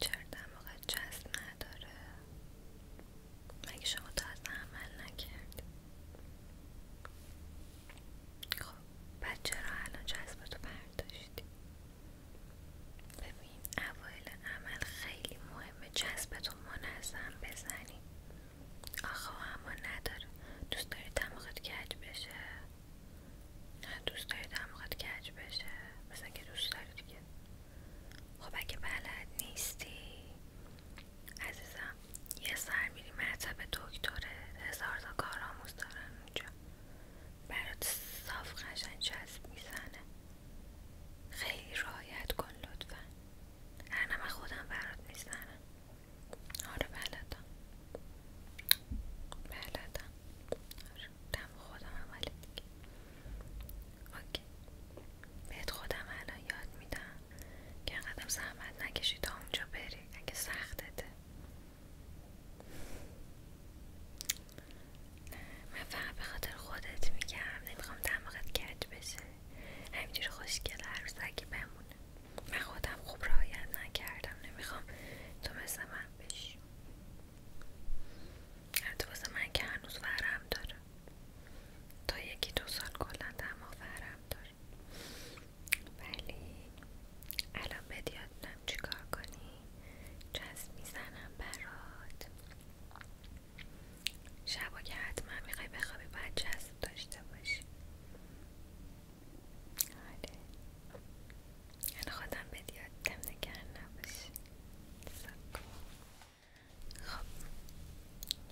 چرا دماغت چسب نداره؟ مگه شما از عمل نکردی؟ خب بعد چرا الان تو برداشتی؟ ببین اول عمل خیلی مهمه جذبتو منظم بزنی آخه اما نداره دوست داری دماغت کج بشه نه دوست داری دماغت کج بشه مثلا که دوست داری دیگه خب اگه بلد نیستی عزیزم یه سر میری مرتب دکتره هزار تا کار آموز دارن اونجا برات صاف قشنگ چسب میزنه خیلی رعایت کن لطفا هرنه خودم برات میزنم آره بلدم بلدم گفتم خودم هم ولی دیگه اوکی بهت خودم الان یاد میدم که انقدر زحمت نکشی تا اونجا بری اگه سختته من فقط به خاطر خودت میگم نمیخوام دماغت کرد بشه همینجوری خوشگل هر بمونه من خودم خوب رعایت نکردم نمیخوام تو مثل من بشی حتی واسه من که هنوز ورم داره تا یکی دو سال کلا تمام ورم داره ولی الان بدیاد چیکار کنی چسب میزنم برات شبا که حتما میخوای بخوابی باید چسب داشته باشی آره. من خودم بهت یاد دم نگر نباشی خب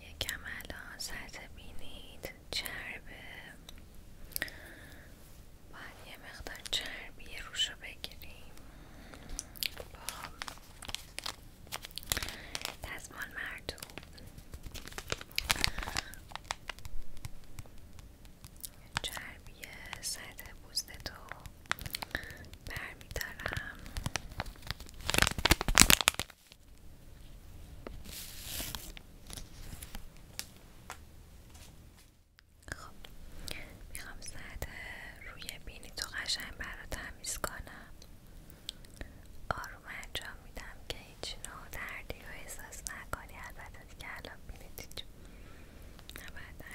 یکم الان سطح بینید چرب باید یه مقدار چربی روش رو بگیریم با خب. دستمال مردم چربی سطح تو برمیدارم خب میخوام سطح روی بینی تو قشنگ برا تمیز کنم آروم انجام میدم که هیچ نوع دردی رو احساس نکنی البته دیگه الان بینید نباید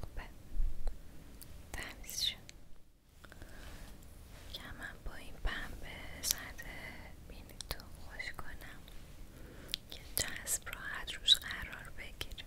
خوبه تمیز شد من با این پنبه زده بینی تو خوش کنم که جسب حد روش قرار بگیریم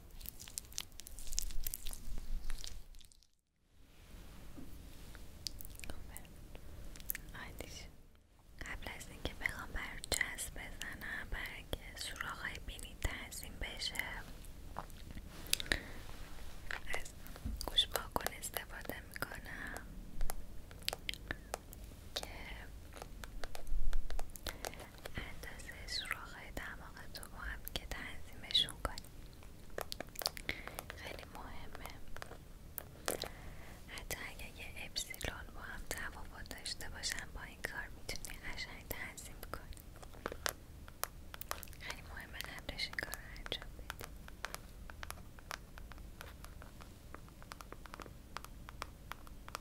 قبل از اینکه بخوام بر بزنم برای که های بینی تعظیم بشه از گوش استفاده میکنم که اندازه سوراخهای دماغتو با هم که تنظیمشون کنی خیلی مهمه حتی اگه یه اپسیلون با هم تفاوت داشته باشن با این کار میتونی قشنگ تنظیم کنی خیلی مهمه قبلش این کار انجام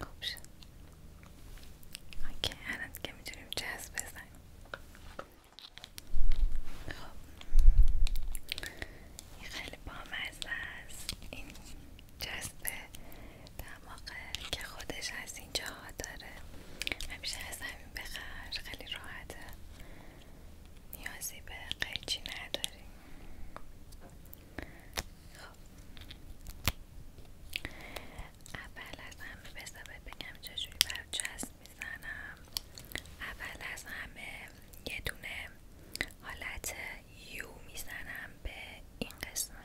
خوب شد اوکی الان دیگه میتونیم جذب بزنیم خب این خیلی بامزه است این در دماغه که خودش از اینجا جاها داره همیشه از همین بخر خیلی راحته نیازی به قیچی نداریم خب. اول از همه بذار بگم چجوری بر چسب میزنم اول از همه یه دونه حالت یو میزنم به این قسمت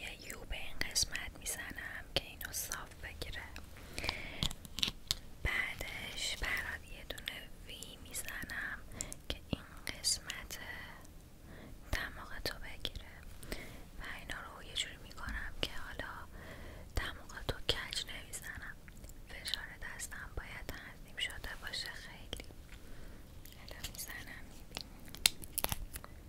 یه یو به این قسمت میزنم که اینو صاف بگیره بعدش برات یه دونه وی میزنم که این قسمت دماغ بگیره و اینا رو یه جوری میکنم که حالا دماغ تو کج نمیزنم فشار دستم باید تنظیم شده باشه خیلی الان میزنم میبینی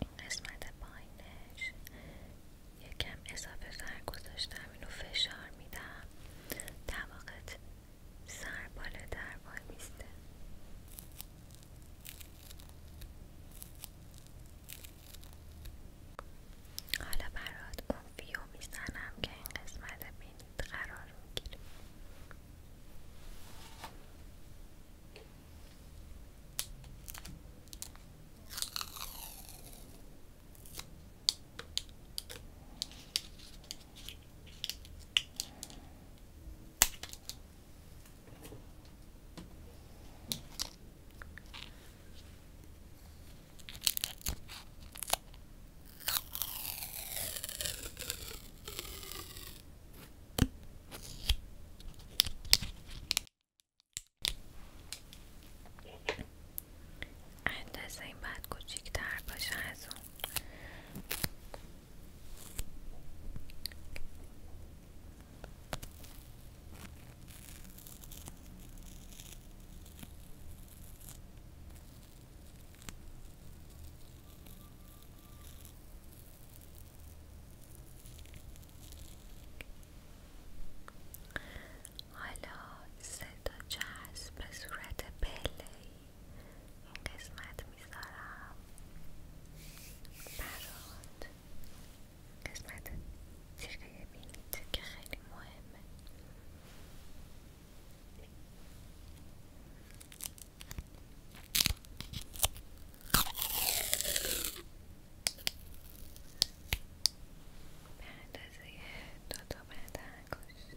این قسمت پایینش یکم اضافه سر گذاشتم اینو فشار میدم واقع سر باله در میسته حالا برات اون فیو میزنم که این قسمت بینید قرار میگیره اندازه این باید کوچیک‌تر باشه از اون حالا سه تا به صورت پلهی این قسمت میذارم قسمت تیغه بینید که خیلی مهمه به اندازه دو تا بعد انگشت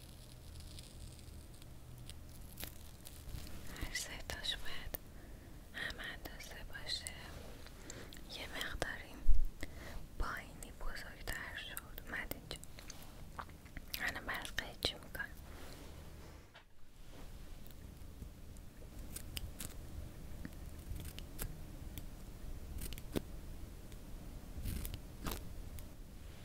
هر ستاش باید هم اندازه باشه یه مقداری پایینی بزرگتر شد اومد اینجا الان برات قیچی میکنم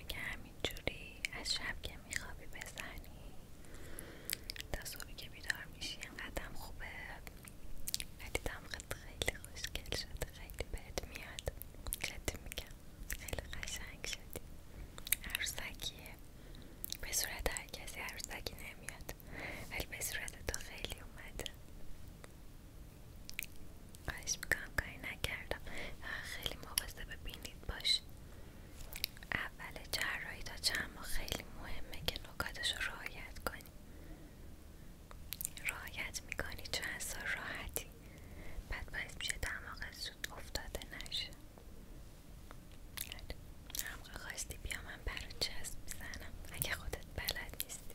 اگه همینجوری از شب که میخوابی بزنی تا که بیدار میشی قدم خوبه ولی دیدم خیلی خوشگل شده خیلی بهت میاد جدی میگم خیلی قشنگ شدی عروسکیه به صورت هر کسی عروسکی نمیاد ولی به صورت تو خیلی اومده خواهش میکنم کاری نکردم خیلی مواظب ببینید باش اول جراحی تا چند خیلی مهمه که نکاتش رو رعایت کنی رعایت میکنی چند سال راحتی بعد باعث میشه دماغ زود افتاده نشه همقه خواستی بیا من برای چسب میزنم اگه خودت بلد نیستی